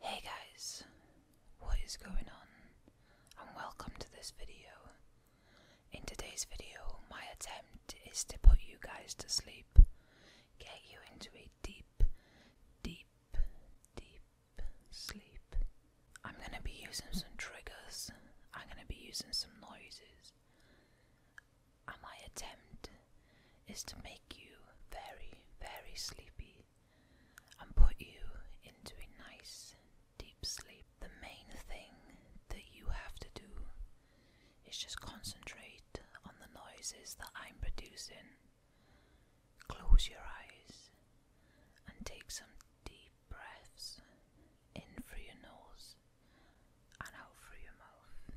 Hey guys, what is going on and welcome to this video. In today's video my attempt is to put you guys to sleep, get you into a deep, deep, deep sleep. I'm going to be using some triggers, I'm going to be using some noises and my attempt is to make you very, very sleepy and put you into a nice deep sleep. The main thing that you have to do is just concentrate on the noises that I'm producing. Close your eyes and take some deep breaths in through your nose and out through your mouth.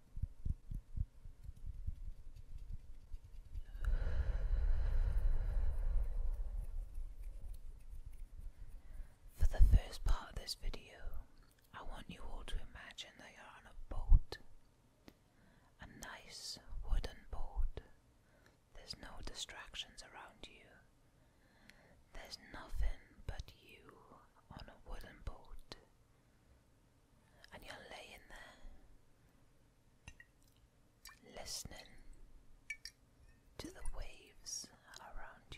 For the first part of this video, I want you all to imagine that you're on a boat. A nice wooden boat. There's no distractions around you. There's nothing but you on a wooden boat and you're laying there, listening to the waves around you.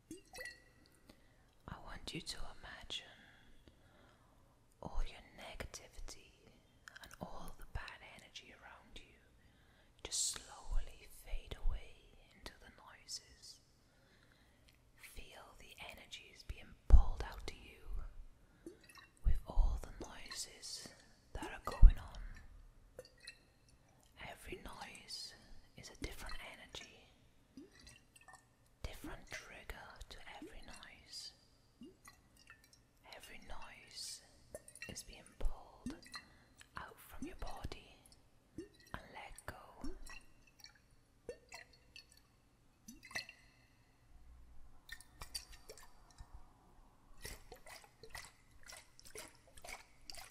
I want you to imagine all your negativity and all the bad energy around you just slowly fade away into the noises. Feel the energies being pulled out to you with all the noises that are going on. Every noise is a different energy, different trigger to every noise. Every noise is being pulled out from your body and let go.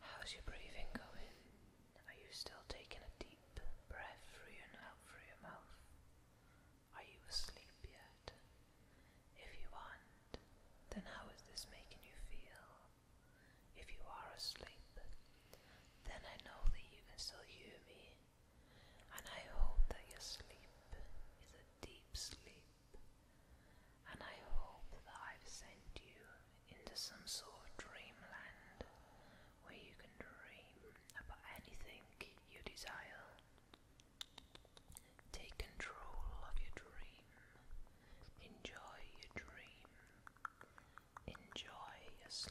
How's your breathing going? Are you still taking a deep breath through and out through your mouth? Are you asleep yet? If you aren't, then how is this making you feel? If you are asleep, then I know that you can still hear me and I hope that your sleep is a deep sleep. And I hope that I've sent you into some sort of dreamland where you can dream about anything you desire. Take control of your dream. Enjoy your dream. Enjoy your sleep.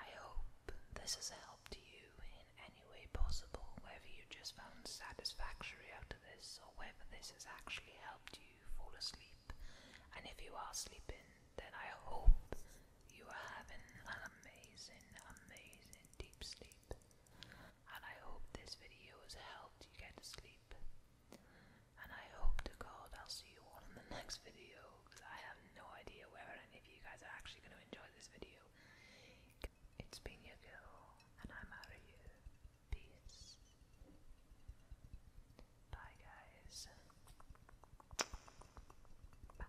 I hope this has helped you in any way possible, whether you just found satisfactory out of this or whether this has actually helped you fall asleep. And if you are sleeping, then I hope you are having an amazing, amazing deep sleep. And I hope this video has helped you get to sleep and I hope to God I'll see you all in the next video because I have no idea whether any of you guys are actually going to enjoy this video. It's been your girl, and I'm out of here. Peace. Bye, guys. Bye.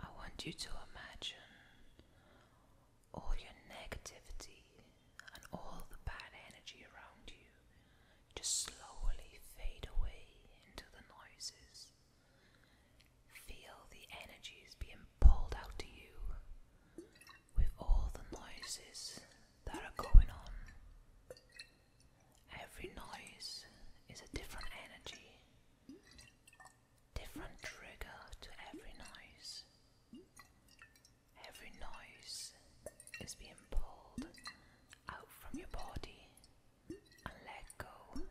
I want you to imagine all your negativity and all the bad energy around you just slowly fade away into the noises. Feel the energies being pulled out to you with all the noises that are going on. Every noise is a different energy, different trigger to every noise. Every noise is being pulled out from your body and let go.